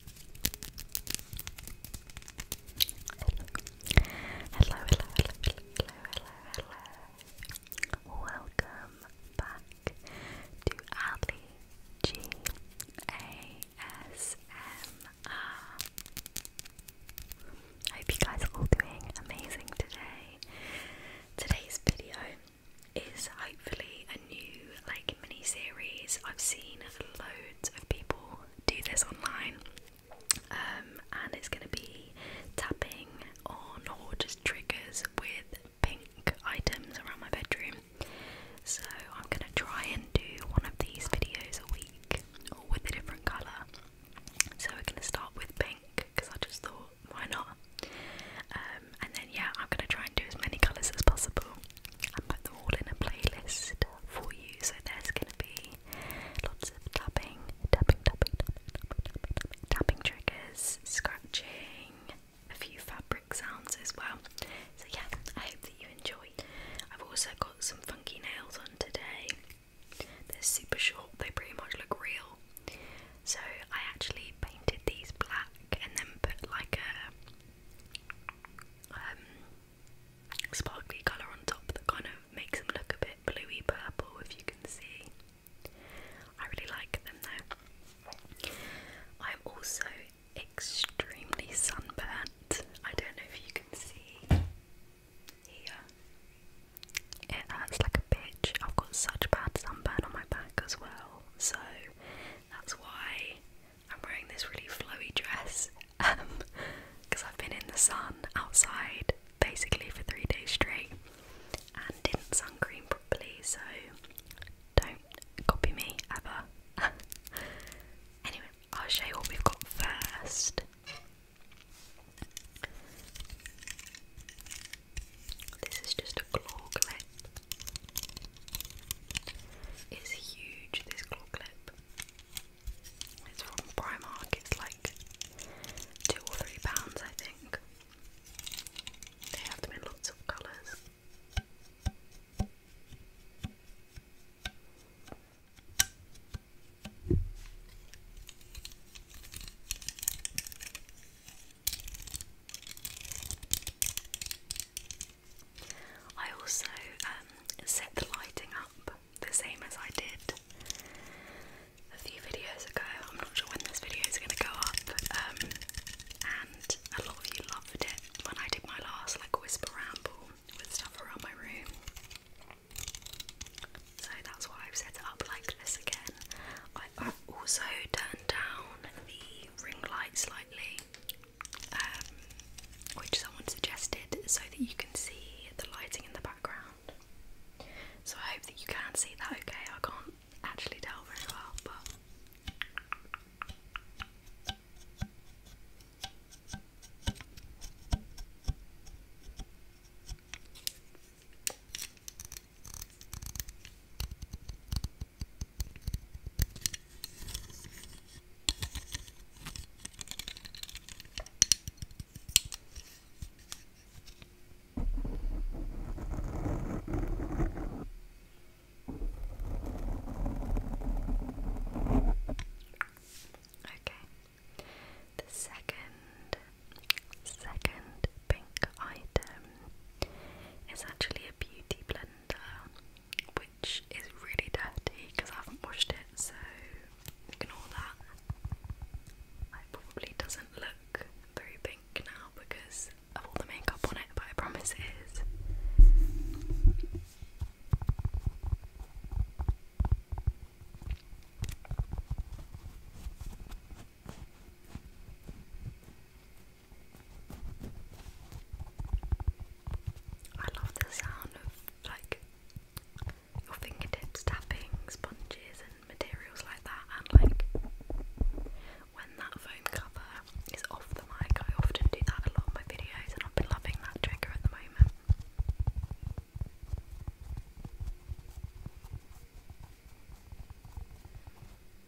hello, hello, hello, hello, hello. Welcome back to Ali G A S M R. I hope you guys are all doing amazing today. Today's video is hopefully a new like mini series. I've seen loads of people do this online, um, and it's going to be tapping on or just triggers with pink items around my bedroom. So I'm going to try and do one of these videos a week, with a different colour. So we're going to start with pink because I just thought, why not? Um, and then yeah, I'm going to try and do as many colours as possible and put them all in a playlist for you. So there's going to be lots of tapping, tapping, tapping, tapping, tapping, tapping, tapping, tapping triggers, scratching, a few fabric sounds as well. So yeah, I hope that you enjoy. I've also got some funky nails on today. They're super short, they pretty much look real. So I actually painted these black and then put like a um, sparkly colour on top that kind of makes them look a bit bluey purple if you can see. I really like them though. I'm also extremely sunburnt. I don't know if you can see here. It hurts like a bitch. I've got such bad sunburn on my back as well, so that's why I'm wearing this really flowy dress because um, I've been in the sun outside basically for three days straight and didn't sun properly, so don't copy me ever. anyway, I'll show you what we've got first. This is just a claw it's huge, this claw clip. It's from Primark, it's like two or three pounds, I think. They have them in lots of colours. I also um, set the lighting up the same as I did a few videos ago. I'm not sure when this video is going to go up, um, and a lot of you loved it when I did my last like whisper ramble with stuff around my room. So that's why I've set it up like this again. I, I've also turned down the ring light slightly um, which someone suggested so that you can see the lighting in the background. So I hope that you can see that okay. I can't actually tell very well, but. Okay. The second second pink item is actually a beauty blender which is really dirty because I haven't washed it, so ignore that. It probably doesn't look very pink now because of all the makeup on it, but I promise it is. I love the sound of like your fingertips tapping sponges and materials like that, and like when that foam cover is off the mic, I often do that a lot in my videos, and I've been loving that trigger at the moment.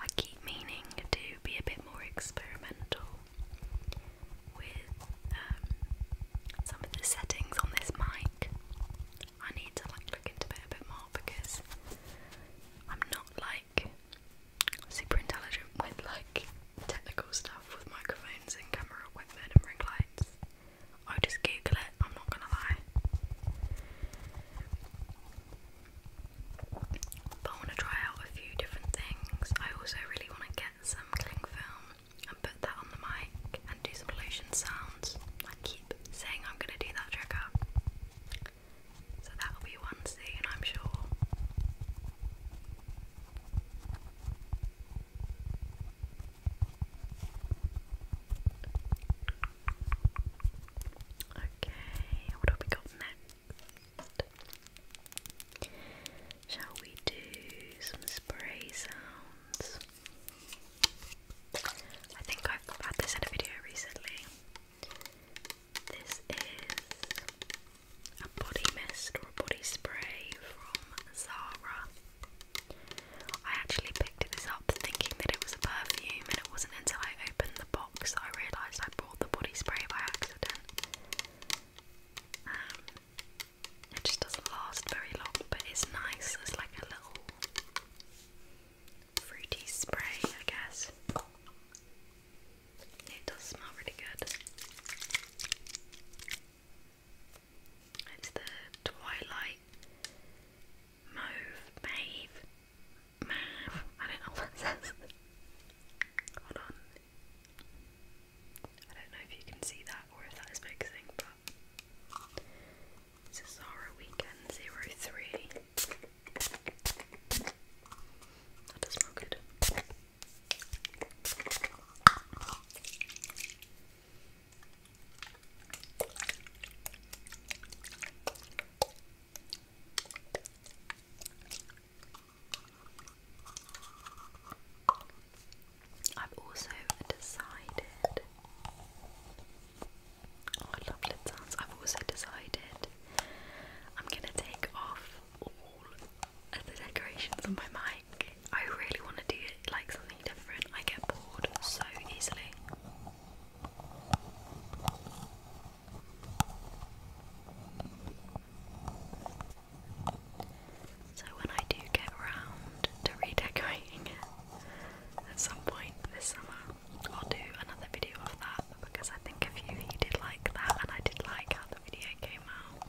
I keep meaning to be a bit more experimental with um, some of the settings on this mic. I need to like look into it a bit more because I'm not like super intelligent with like technical stuff with microphones and camera equipment and ring lights. I just Google it. I'm not gonna lie. I want to try out a few different things. I also really want to get some cling film and put that on the mic and do some lotion sounds. I keep saying I'm going to do that trick up. So that'll be one And I'm sure. Okay, what have we got next? Shall we do some spray sounds? I think I've had this in a video recently. This is a body mist or a body spray from Zara. I actually picked this up thinking that it was a perfume and it wasn't until I opened the box I realised I brought the body spray by accident. Um, it just doesn't last very long, but it's nice. It's like a little fruity spray, I guess. It does smell really good. It's the Twilight Mauve, Mave, Mav, I don't know what that says. Hold on. I don't know if you can see that or if that is focusing, but it's a Zara Weekend 03. That does smell good. I've also decided. Oh, I love lip sounds. I've also decided I'm gonna take off all of the decorations on my mic. I really want to do like something different. I get bored so easily. So, when I do get round to redecorating it at some point this summer, I'll do another video of that because I think if you did like that and I did like how the video came out.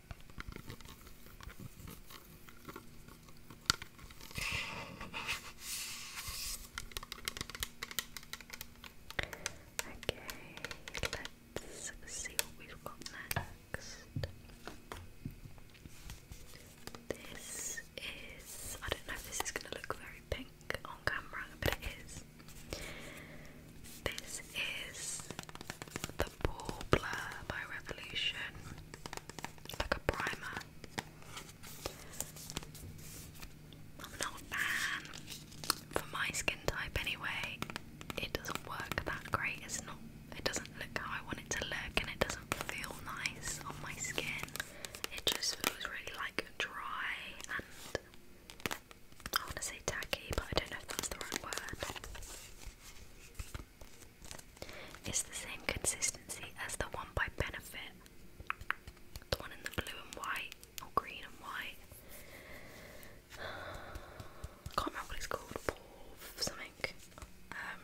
Okay, let's see what we've got next. This is, I don't know if this is going to look very pink on camera, but it is. This is the Pore Blur by Revolution. Like a primer. I'm not a fan. For my skin type anyway, it doesn't work that great. It's not it doesn't look how I want it to look and it doesn't feel nice on my skin. It just feels really like dry and I want to say tacky, but I don't know if that's the right word. It's the same consistency as the one by Benefit. The one in the blue and white, or green and white. I can't remember what it's called, Porf something. Um,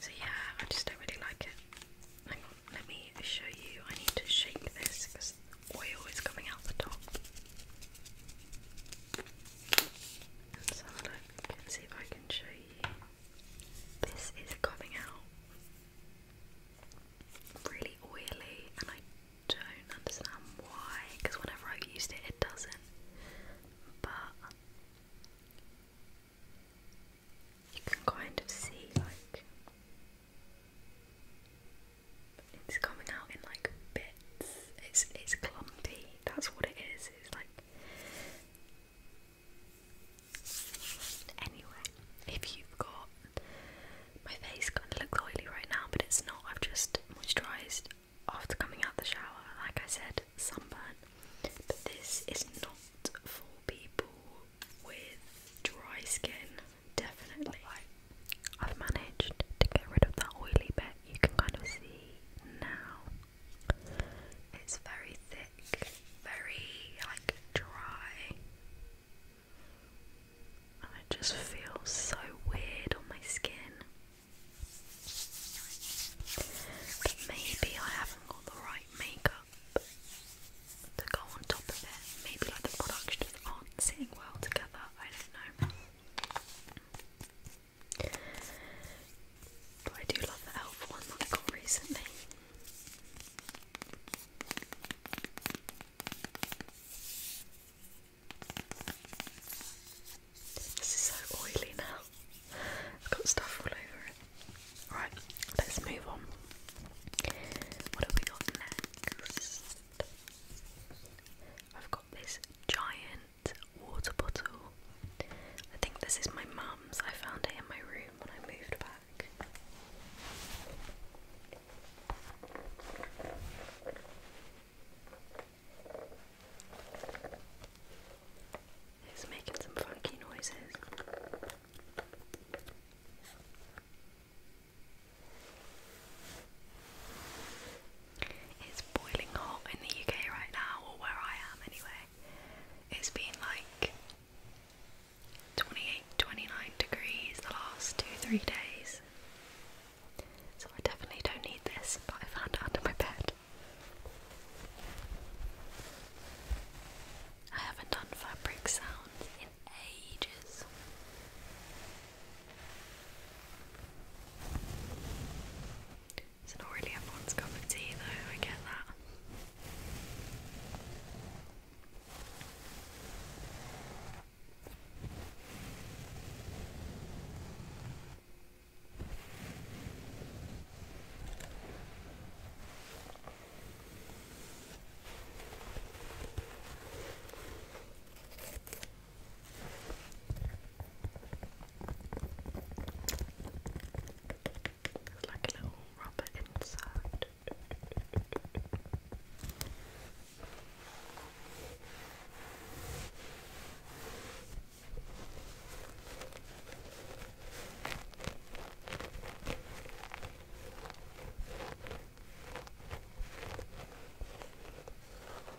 so yeah, I just don't really like it. Hang on, let me show you. I need to shake this because oil is coming out the top. Let's see if I can show you. This is coming out really oily, and I don't understand why, because whenever I've used it, it doesn't. But you can kind of see, like, it's coming out in like bits. It's it's clumpy. That's what it is. It's like anyway. If you've got my face kind of looks oily right now, but it's not. I've just moisturised after coming out the shower. Like I said, sunburn. But this is not for people with dry skin. Definitely. I've managed to get rid of that oily bit you can kind of see now. It's very thick, very like dry. And it just feels so weird on my skin. But maybe I haven't got the right makeup to go on top of it. Maybe like the products just aren't sitting well together. I don't know. But I do love the elf one that I got recently. This is so oily now. I've got stuff all over it. Alright, let's move on. What have we got next? I've got this giant water bottle. I think this is my mum's. I found it in my room when I moved back. It's making some funky noises. It's boiling hot in the UK right now, or where I am anyway. It's been like 28, 29 degrees the last two, three days. So I definitely don't need this, but I found it under my bed. I haven't done fabric sounds in ages. It's not really everyone's cup of tea, though, I get that. There's like a little rubber insert.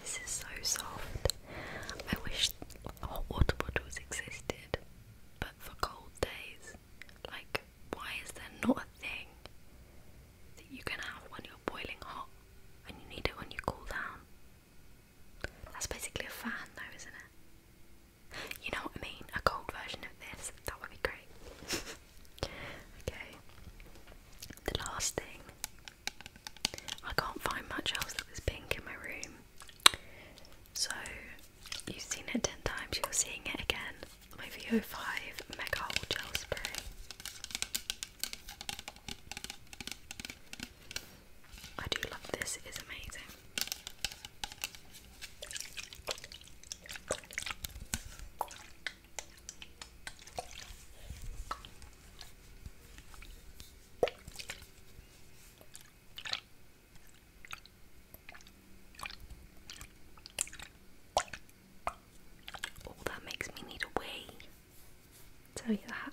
This is so soft. I wish hot water bottles existed, but for cold days. Like, why is there not a thing that you can have when you're boiling hot and you need it when you cool down? That's basically a fan, though, isn't it? You know what I mean? A cold version of this. That would be great. okay. The last thing. I can't find much else that was pink in my room. So, you've seen it 10 times, you're seeing it again. My VO5 Mega Hole Gel Spray. I do love this, it is amazing. Oh, that makes me need a wee. Tell you that.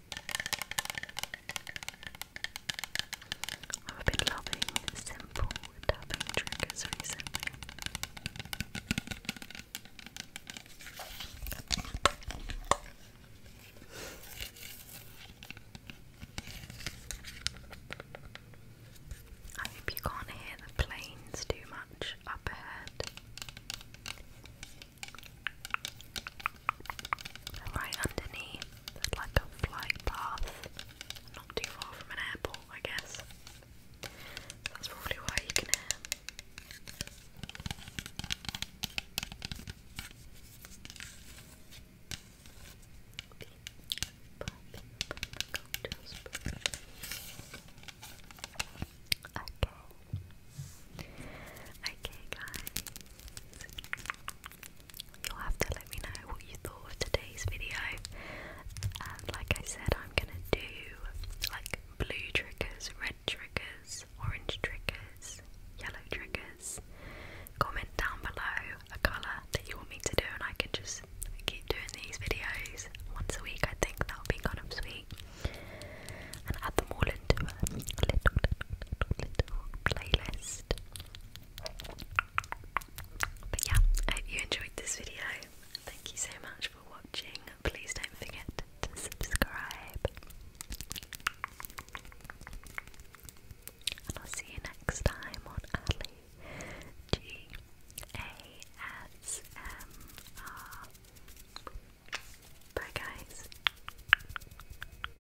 I've been loving simple tapping triggers recently. I hope you can't hear the planes too much up ahead right underneath, like a flight path, not too far from an airport, I guess. That's probably why you can hear. Okay. guys you'll have to let me know what you thought of today's video. And like I said, I'm gonna do like blue triggers, red triggers, orange triggers, yellow triggers. Comment down below a colour that you want me to do, and I can just keep doing these videos once a week. I think that'll be kind of sweet. And add them all into a little, little, little playlist. But yeah, I hope you enjoyed this video. Thank you so much for watching. Please don't forget to subscribe. And I'll see you next time on Ali G A S M R. Bye guys.